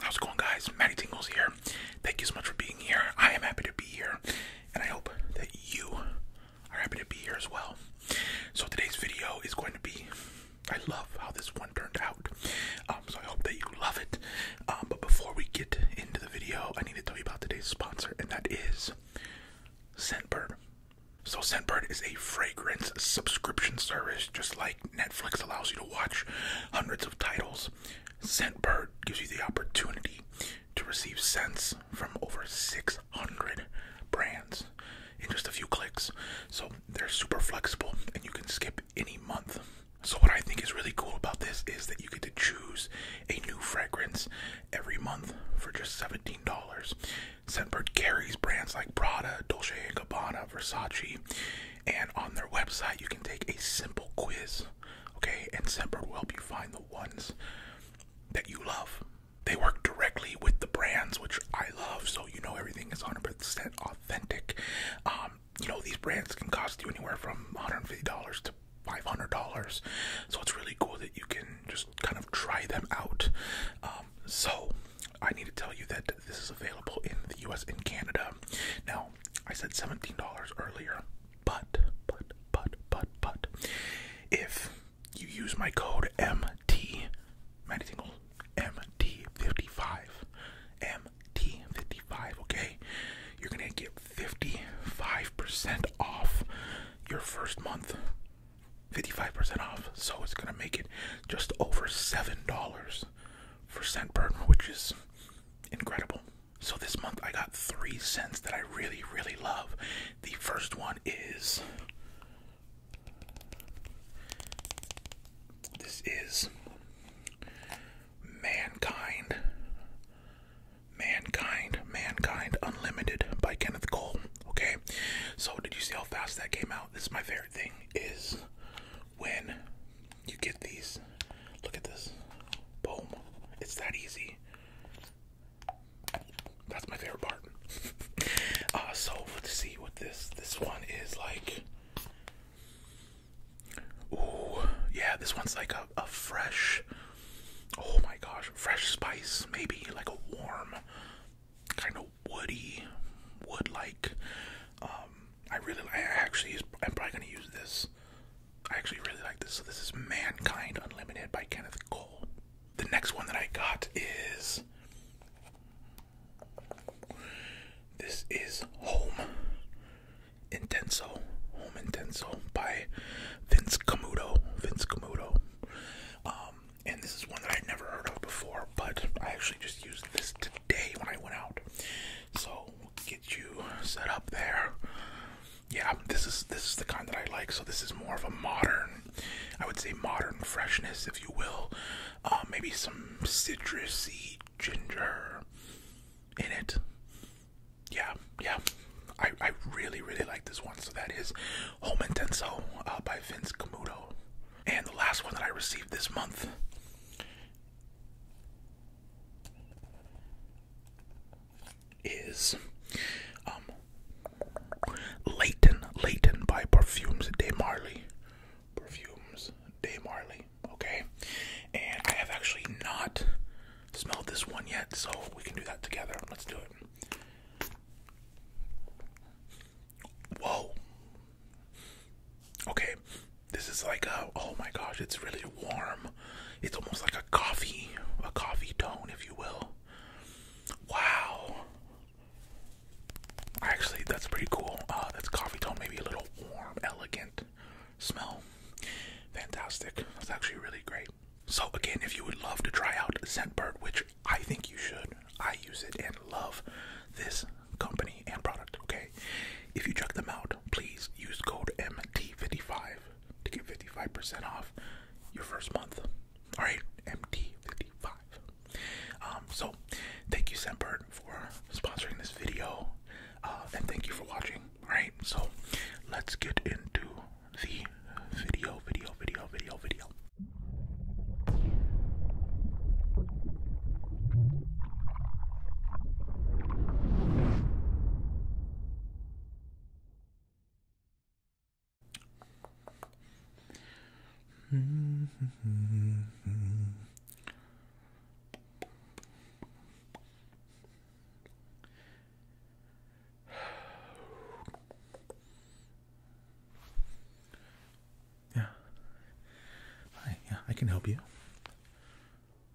How's it going, guys? Matty Tingles here. Thank you so much for being here. I am happy to be here, and I hope that you are happy to be here as well. So, today's video is going to be I love how this one turned out. Um, so, I hope that you love it. Um, but before we get into the video, I need to tell you about today's sponsor, and that is Scentbird. So, Scentbird is a fragrance subscription service, just like Netflix allows you to watch hundreds of titles. Scentbird gives you the opportunity to receive scents from over 600 brands in just a few clicks. So they're super flexible and you can skip any month. So what I think is really cool about this is that you get to choose a new fragrance every month for just $17. Scentbird carries brands like Prada, Dolce & Gabbana, Versace, and on their website, you can take a simple quiz, okay? And Semper will help you find the ones that you love. They work directly with the brands, which I love, so you know everything is 100% authentic. Um, you know, these brands can cost you anywhere from $150 to $500, so it's really cool that you can just kind of try them out. Um, so, I need to tell you that this is available in the US and Canada. Now, I said $17 earlier, but, but, but, but, but, if you use my code MT, Maddie Tingle, MT55, MT55, okay, you're gonna get 55% off your first month. 55% off, so it's gonna make it just over $7 for Scent which is incredible. So this month I got three scents that I really, really love. The first one is this is Mankind. Mankind, Mankind Unlimited by Kenneth Cole. Okay. So did you see how fast that came out? This is my favorite thing is when you get these. Look at this. Boom. It's that easy. That's my favorite part. uh, so let's see what this this one is like. Ooh, yeah, this one's like a, a fresh, oh my gosh, fresh spice, maybe like a warm, kind of woody, wood like um, I really, I actually, I'm probably going to use this. I actually really like this. So this is Mankind Unlimited by Kenneth Cole. The next one that I got is this is Home Intenso. Home Intenso by Vince Camuto. Vince Camuto. Um, and this is one that i never heard of before, but I actually just used this today when I went out. So get you set up there. Yeah, this is this is the kind that I like. So this is more of a modern, I would say modern freshness, if you will. Uh, maybe some citrusy ginger in it. Yeah, yeah. I, I really, really like this one. So that is Home Intenso uh, by Vince Camuto. And the last one that I received this month is um Leighton, Leighton by Perfumes de Marley. Perfumes de Marley, okay? And I have actually not smelled this one yet, so we can do that together. Let's do it. Whoa, Okay, this is like a oh my gosh, it's really warm. It's almost like a coffee, a coffee tone, if you will. Wow. Actually, that's pretty cool. Uh, that's coffee tone, maybe a little warm, elegant smell. Fantastic. That's actually really great. So again, if you would love to try out Scentbird, which I think you should, I use it and love this company and product, okay? If you check them out, please use code MT55 to get 55% off your first month. All right, MT55. Um, so, thank you, Sempert, for sponsoring this video, uh, and thank you for watching. All right, so let's get into the video, video, video, video, video yeah. Hi, yeah, I can help you.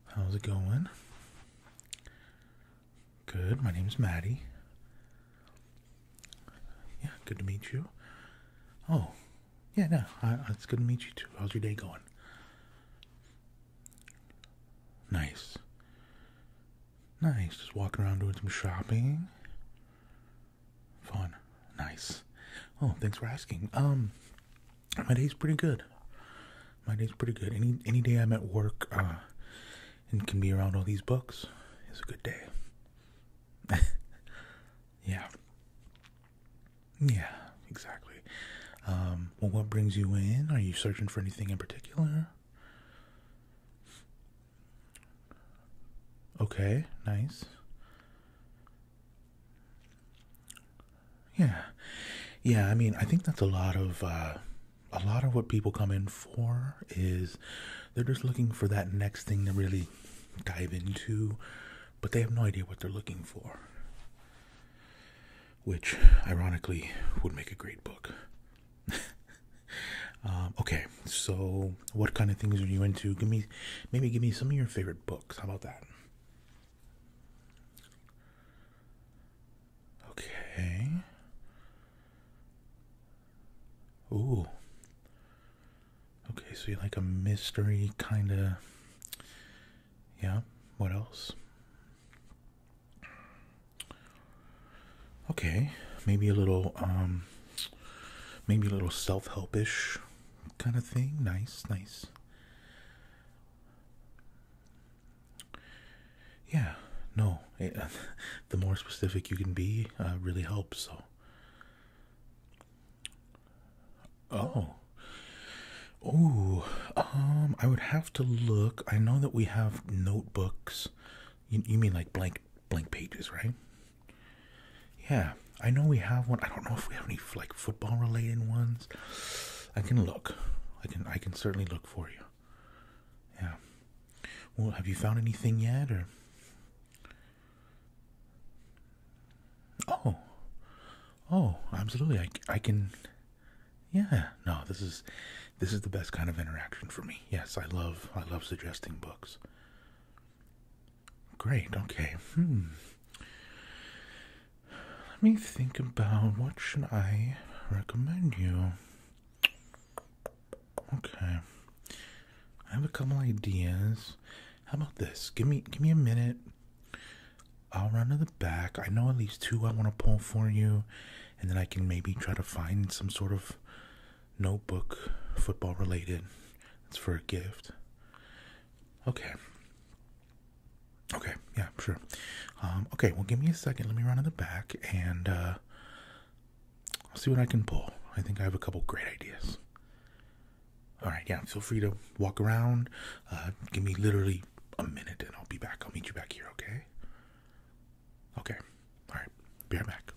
How's it going? Good. My name's Maddie. Yeah, good to meet you. Oh, yeah, no, it's good to meet you too. How's your day going? Nice. Nice. Just walking around doing some shopping. Fun. Nice. Oh, thanks for asking. Um, my day's pretty good. My day's pretty good. Any any day I'm at work uh, and can be around all these books is a good day. yeah. Yeah, exactly. Um, well, what brings you in? Are you searching for anything in particular? Okay, nice. Yeah. Yeah, I mean, I think that's a lot of uh, a lot of what people come in for is they're just looking for that next thing to really dive into, but they have no idea what they're looking for. Which, ironically, would make a great book. Um, okay, so what kind of things are you into? Give me, maybe give me some of your favorite books. How about that? Okay. Ooh. Okay, so you like a mystery kind of. Yeah, what else? Okay, maybe a little, um, maybe a little self helpish kind of thing. Nice, nice. Yeah, no, uh, the more specific you can be uh, really helps. So, oh, oh, um, I would have to look. I know that we have notebooks. you mean like blank blank pages, right? Yeah, I know we have one. I don't know if we have any like football related ones. I can look. I can I can certainly look for you. Yeah. Well, have you found anything yet or Oh. Oh, absolutely. I I can Yeah. No, this is this is the best kind of interaction for me. Yes, I love I love suggesting books. Great. Okay. Hmm. Let me think about what should I recommend you. Okay. I have a couple ideas. How about this? Give me give me a minute. I'll run to the back. I know at least two I want to pull for you, and then I can maybe try to find some sort of notebook football related. That's for a gift. Okay. Okay, yeah, sure. Um, okay, well, give me a second. Let me run in the back and I'll uh, see what I can pull. I think I have a couple great ideas. All right, yeah, feel free to walk around. Uh, give me literally a minute and I'll be back. I'll meet you back here, okay? Okay, all right, be right back.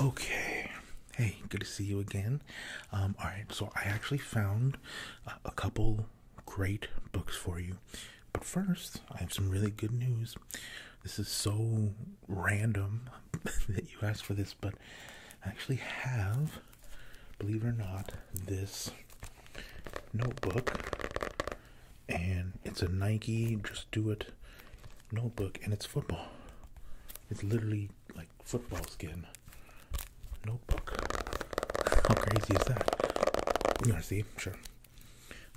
Okay, hey, good to see you again. Um, all right, so I actually found uh, a couple great books for you, but first, I have some really good news. This is so random that you asked for this, but I actually have, believe it or not, this notebook, and it's a Nike Just Do It notebook, and it's football. It's literally like football skin notebook. How crazy is that? You want to see? Sure.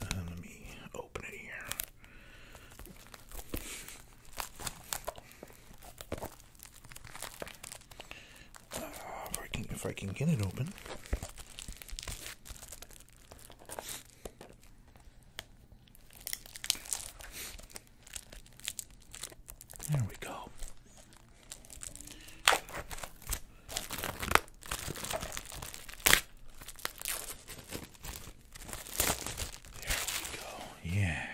Uh, let me open it here. Uh, if I can, if I can get it open. There we go. There we go. Yeah.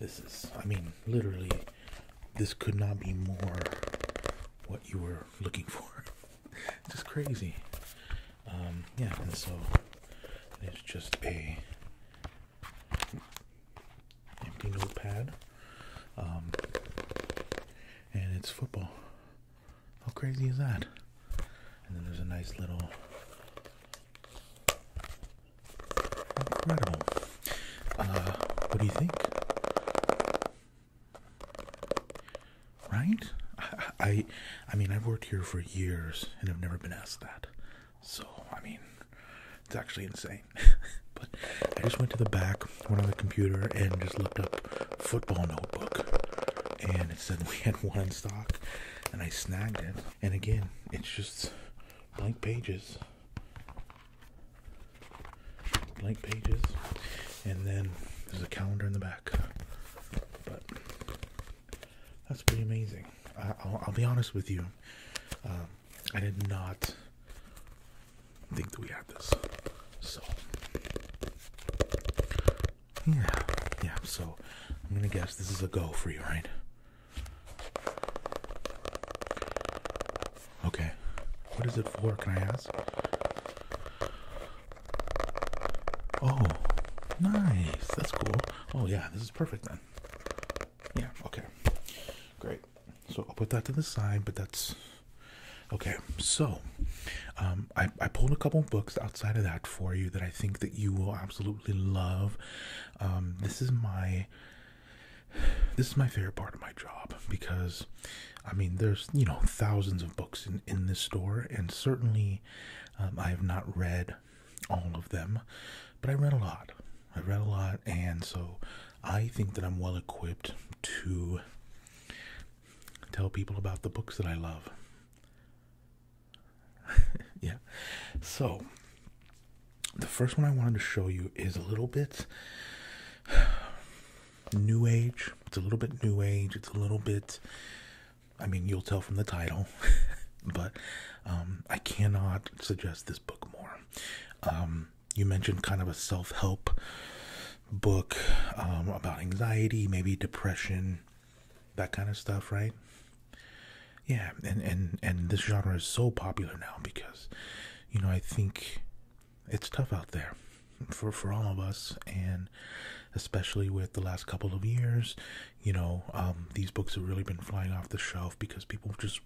This is, I mean, literally, this could not be more what you were looking for. It's just crazy. Um, yeah, and so it's just a empty notepad, um, and it's football. How crazy is that? And then there's a nice little incredible. Uh, what do you think? Right? I, I mean, I've worked here for years and I've never been asked that. So, I mean, it's actually insane. but I just went to the back, went on the computer, and just looked up football notebook. And it said we had one stock, and I snagged it. And again, it's just blank pages. Blank pages. And then there's a calendar in the back. But that's pretty amazing. I, will be honest with you. Um, I did not think that we had this. So, yeah, yeah. So, I'm gonna guess this is a go for you, right? Okay. What is it for? Can I ask? Oh, nice. That's cool. Oh, yeah. This is perfect then. Yeah, okay. Great. So I'll put that to the side, but that's okay. So um, I, I pulled a couple books outside of that for you that I think that you will absolutely love. Um, this is my this is my favorite part of my job because I mean there's you know thousands of books in, in this store and certainly um, I have not read all of them, but I read a lot. I read a lot and so I think that I'm well equipped to tell people about the books that I love. yeah. So, the first one I wanted to show you is a little bit new age. It's a little bit new age. It's a little bit, I mean, you'll tell from the title, but um, I cannot suggest this book more. Um, you mentioned kind of a self help book um, about anxiety, maybe depression, that kind of stuff, right? Yeah, and, and, and this genre is so popular now because, you know, I think it's tough out there for, for all of us, and especially with the last couple of years, you know, um, these books have really been flying off the shelf because people just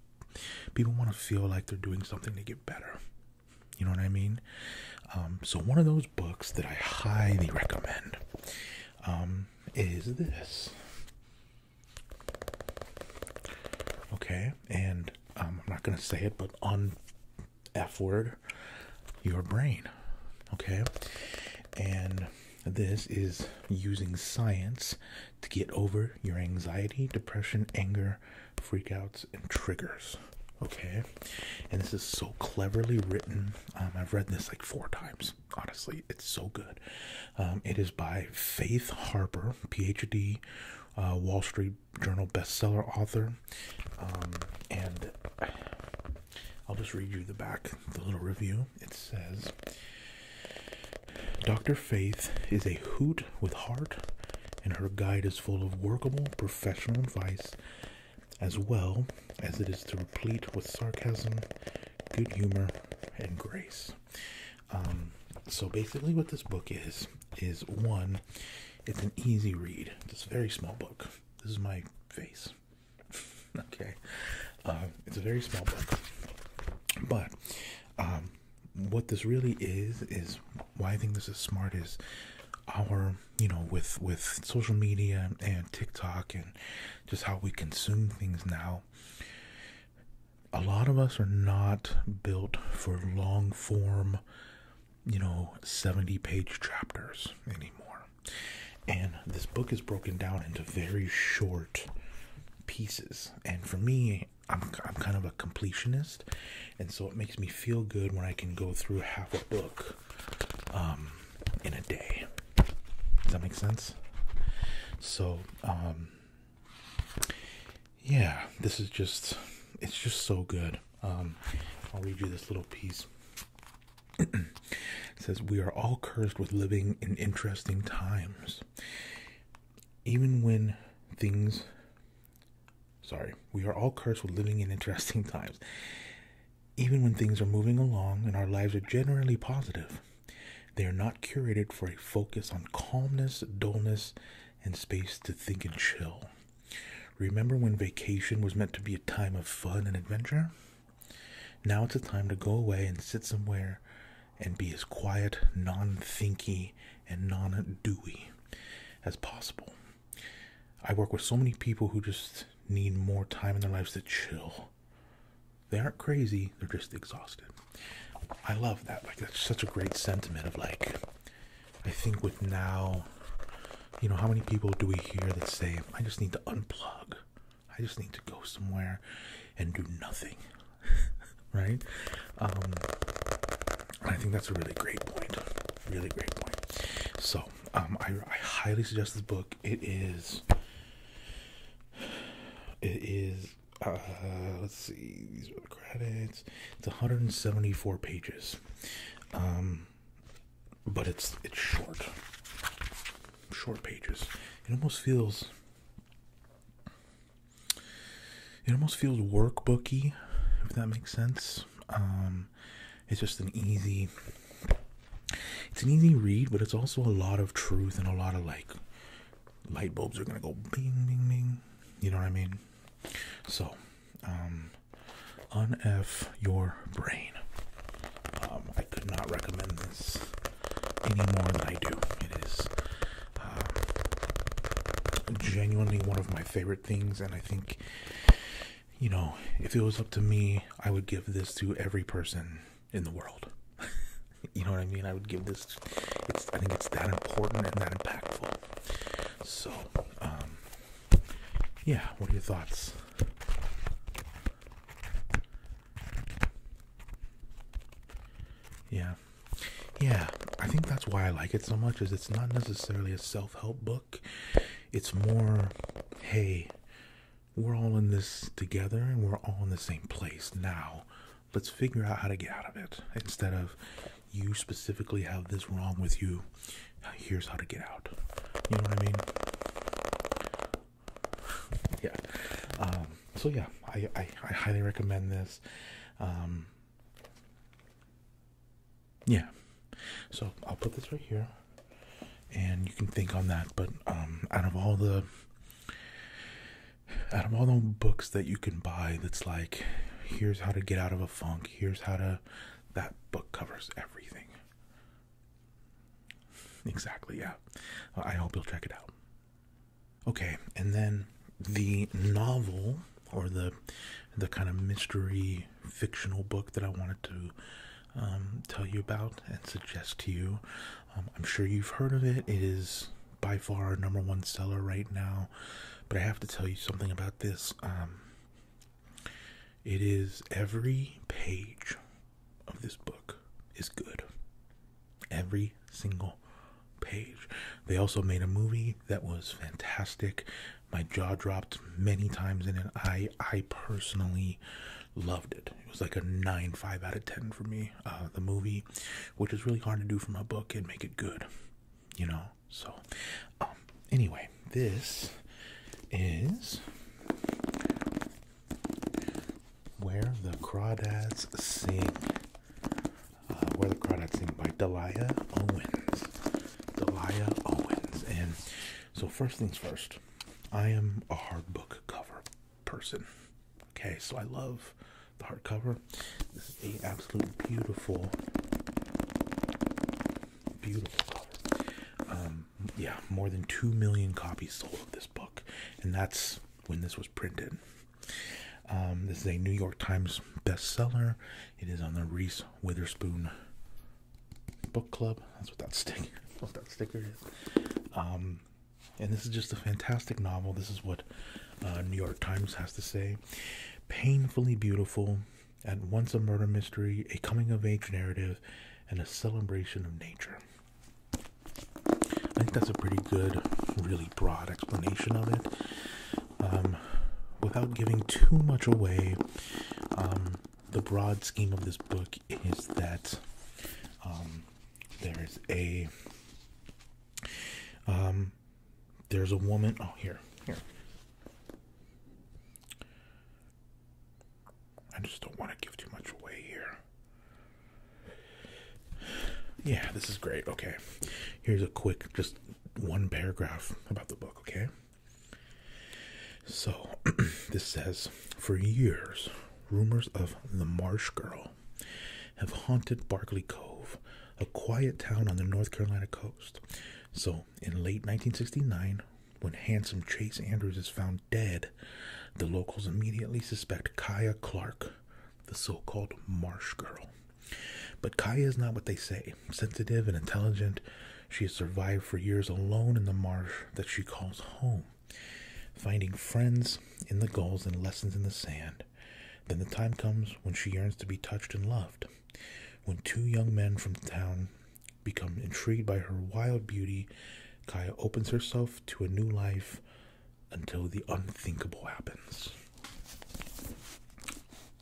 people want to feel like they're doing something to get better. You know what I mean? Um, so one of those books that I highly recommend um, is this. Okay, and um, I'm not gonna say it, but on F word, your brain. Okay, and this is using science to get over your anxiety, depression, anger, freakouts, and triggers. Okay, and this is so cleverly written. Um, I've read this like four times. Honestly, it's so good. Um, it is by Faith Harper, PhD, uh, Wall Street Journal bestseller author, um, and I'll just read you the back, the little review. It says. Dr. Faith is a hoot with heart, and her guide is full of workable professional advice as well as it is to replete with sarcasm, good humor, and grace. Um, so basically, what this book is is one, it's an easy read. It's a very small book. This is my face. okay, uh, it's a very small book, but um, what this really is is why I think this is smart is our you know with with social media and TikTok and just how we consume things now. A lot of us are not built for long form, you know, 70 page chapters anymore. And this book is broken down into very short pieces. And for me, I'm, I'm kind of a completionist, and so it makes me feel good when I can go through half a book um, in a day. Does that make sense? So, um, yeah, this is just, it's just so good. Um, I'll read you this little piece. says, We are all cursed with living in interesting times even when things sorry, we are all cursed with living in interesting times. Even when things are moving along and our lives are generally positive, they are not curated for a focus on calmness, dullness, and space to think and chill. Remember when vacation was meant to be a time of fun and adventure? Now it's a time to go away and sit somewhere and be as quiet, non thinky, and non doey as possible. I work with so many people who just need more time in their lives to chill. They aren't crazy, they're just exhausted. I love that. Like, that's such a great sentiment of like, I think with now, you know, how many people do we hear that say, I just need to unplug? I just need to go somewhere and do nothing. right? Um, I think that's a really great point. Really great point. So, um, I, highly suggest this book. It is, it is, uh, let's see, these are the credits. It's 174 pages. Um, but it's, it's short, short pages. It almost feels it almost feels workbooky, if that makes sense. Um, it's just an easy, it's an easy read, but it's also a lot of truth and a lot of like light bulbs are gonna go bing, bing, bing. You know what I mean? So, um, unf your brain. Um, I could not recommend this any more than I do. It is uh, genuinely one of my favorite things, and I think you know, if it was up to me, I would give this to every person in the world. you know what I mean? I would give this. I think it's that important and that impactful. So, um, yeah. What are your thoughts? Yeah, yeah i think that's why i like it so much is it's not necessarily a self-help book it's more hey we're all in this together and we're all in the same place now let's figure out how to get out of it instead of you specifically have this wrong with you here's how to get out you know what i mean yeah um, so yeah i i, highly recommend this um, yeah so i'll put this right here and you can think on that but um out of all the out of all the books that you can buy that's like here's how to get out of a funk here's how to that book covers everything exactly yeah i hope you'll check it out Okay, and then the novel or the the kind of mystery fictional book that I wanted to um, tell you about and suggest to you. Um, I'm sure you've heard of it. It is by far our number one seller right now, but I have to tell you something about this. Um, it is every page of this book is good. Every single page. They also made a movie that was fantastic. My jaw dropped many times in it. I I personally loved it. It was like a 9 5 out of 10 for me. Uh, the movie, which is really hard to do from a book and make it good, you know? So, um, anyway, this is where the crawdads sing. Uh, where the product's in by Delia Owens. Delia Owens. And so, first things first, I am a hard book cover person. Okay, so I love the hardcover. This is an absolute beautiful, beautiful cover. Um, yeah, more than two million copies sold of this book, and that's when this was printed. Um, this is a New York Times bestseller. It is on the Reese Witherspoon Book Club. That's what that sticker. what that sticker is. Um, and this is just a fantastic novel. This is what uh, New York Times has to say. Painfully beautiful, at once a murder mystery, a coming-of-age narrative, and a celebration of nature. I think that's a pretty good, really broad explanation of it. Um, without giving too much away, um, the broad scheme of this book is that um, there's a there's a woman. Oh, here, here. I just don't want to give too much away here. Yeah, this is great. Okay. Here's a quick, just one paragraph about the book, okay? So, this says For years, rumors of the Marsh Girl have haunted Barkley Cove, a quiet town on the North Carolina coast. So, in late 1969, when handsome Chase Andrews is found dead, the locals immediately suspect Kaya Clark, the so called Marsh Girl. But Kaya is not what they say. Sensitive and intelligent, she has survived for years alone in the marsh that she calls home, finding friends in the gulls and lessons in the sand. Then the time comes when she yearns to be touched and loved. When two young men from town become intrigued by her wild beauty, Kaya opens herself to a new life until the unthinkable happens.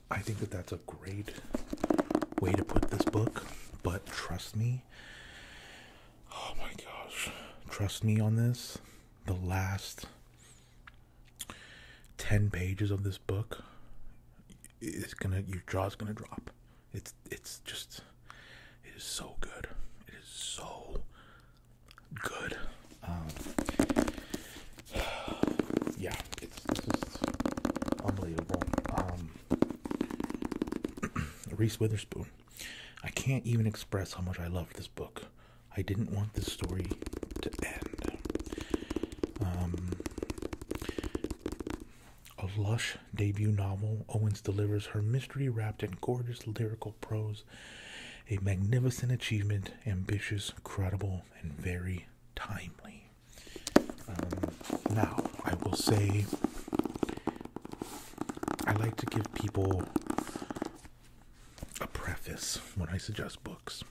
I think that that's a great way to put this book, but trust me, oh my gosh, trust me on this. The last 10 pages of this book is gonna, your jaw's gonna drop. It's, it's just, it is so good. It is so good. Um, yeah, it's, just unbelievable. Um, Reese Witherspoon. I can't even express how much I loved this book. I didn't want this story to end. Um, a lush debut novel, Owens delivers her mystery wrapped in gorgeous lyrical prose a magnificent achievement, ambitious, credible, and very timely. Um, now, I will say I like to give people a preface when I suggest books.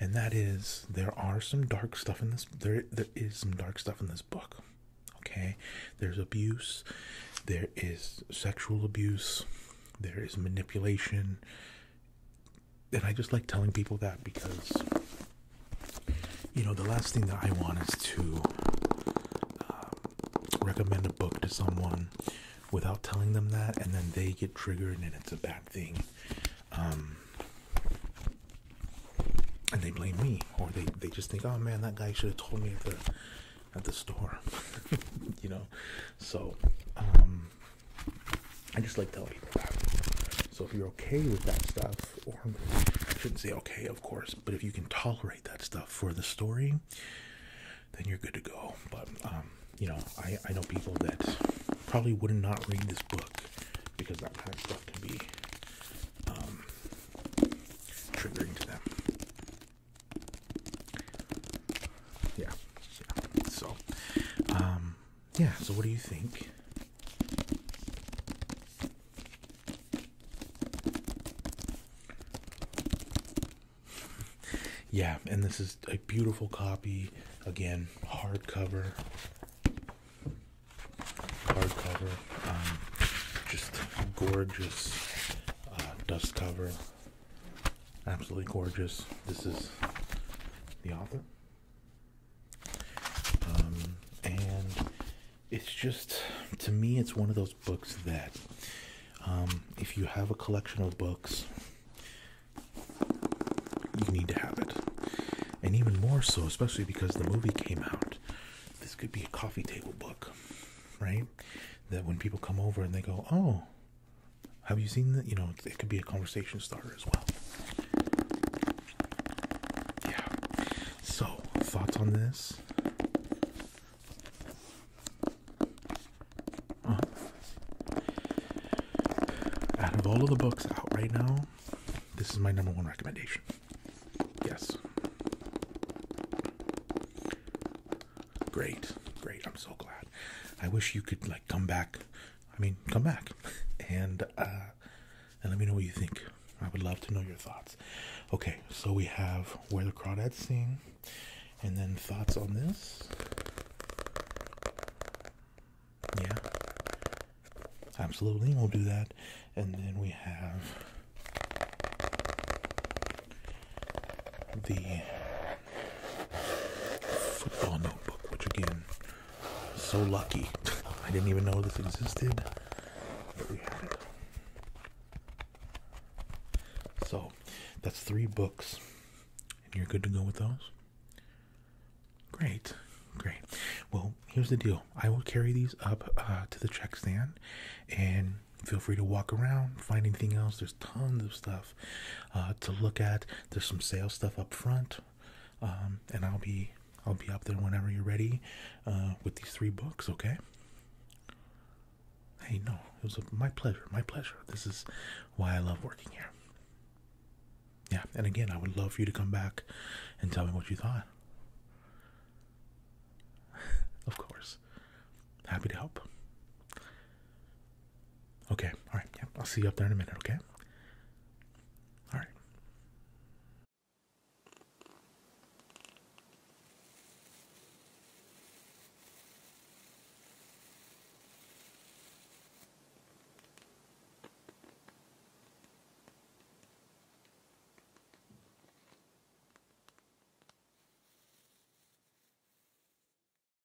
And that is there are some dark stuff in this there there is some dark stuff in this book. Okay? There's abuse, there is sexual abuse, there is manipulation, and I just like telling people that because you know the last thing that I want is to um, recommend a book to someone without telling them that, and then they get triggered, and it's a bad thing. Um, and they blame me, or they, they just think, oh man, that guy should have told me at the at the store, you know. So, um, I just like telling people that. So if you're okay with that stuff, or shouldn't say okay, of course, but if you can tolerate that stuff for the story, then you're good to go. But um, you know, I I know people that probably would not read this book because that kind of stuff can be um, triggering to them yeah, yeah. So, um, yeah. So, what do you think? Yeah, and this is a beautiful copy. Again, hardcover. Hardcover. Um, just gorgeous uh, dust cover. Absolutely gorgeous. This is the author. Um, and it's just, to me, it's one of those books that um, if you have a collection of books, you need to have it. And even more so, especially because the movie came out. This could be a coffee table book, right? That when people come over and they go, oh, have you seen that? You know, it could be a conversation starter as well. Yeah. So, thoughts on this? Uh-huh. out of all of the books out right now, this is my number one recommendation. Yes. Great, great. I'm so glad. I wish you could like come back. I mean, come back and uh, and let me know what you think. I would love to know your thoughts. Okay, so we have where the crowd at seeing, and then thoughts on this. Yeah, absolutely, we'll do that. And then we have the Football notebook, which again, so lucky. I didn't even know this existed, but we had it. So, that's three books, and you're good to go with those? Great, great. Well, here's the deal I will carry these up uh, to the check stand, and feel free to walk around, find anything else. There's tons of stuff uh, to look at. There's some sales stuff up front, um, and I'll be I'll be up there whenever you're ready uh, with these three books. Okay. Hey, no, it was my pleasure. My pleasure. This is why I love working here. Yeah, and again, I would love for you to come back and tell me what you thought. of course. Happy to help. Okay, all right, yeah, I'll see you up there in a minute, okay? All right.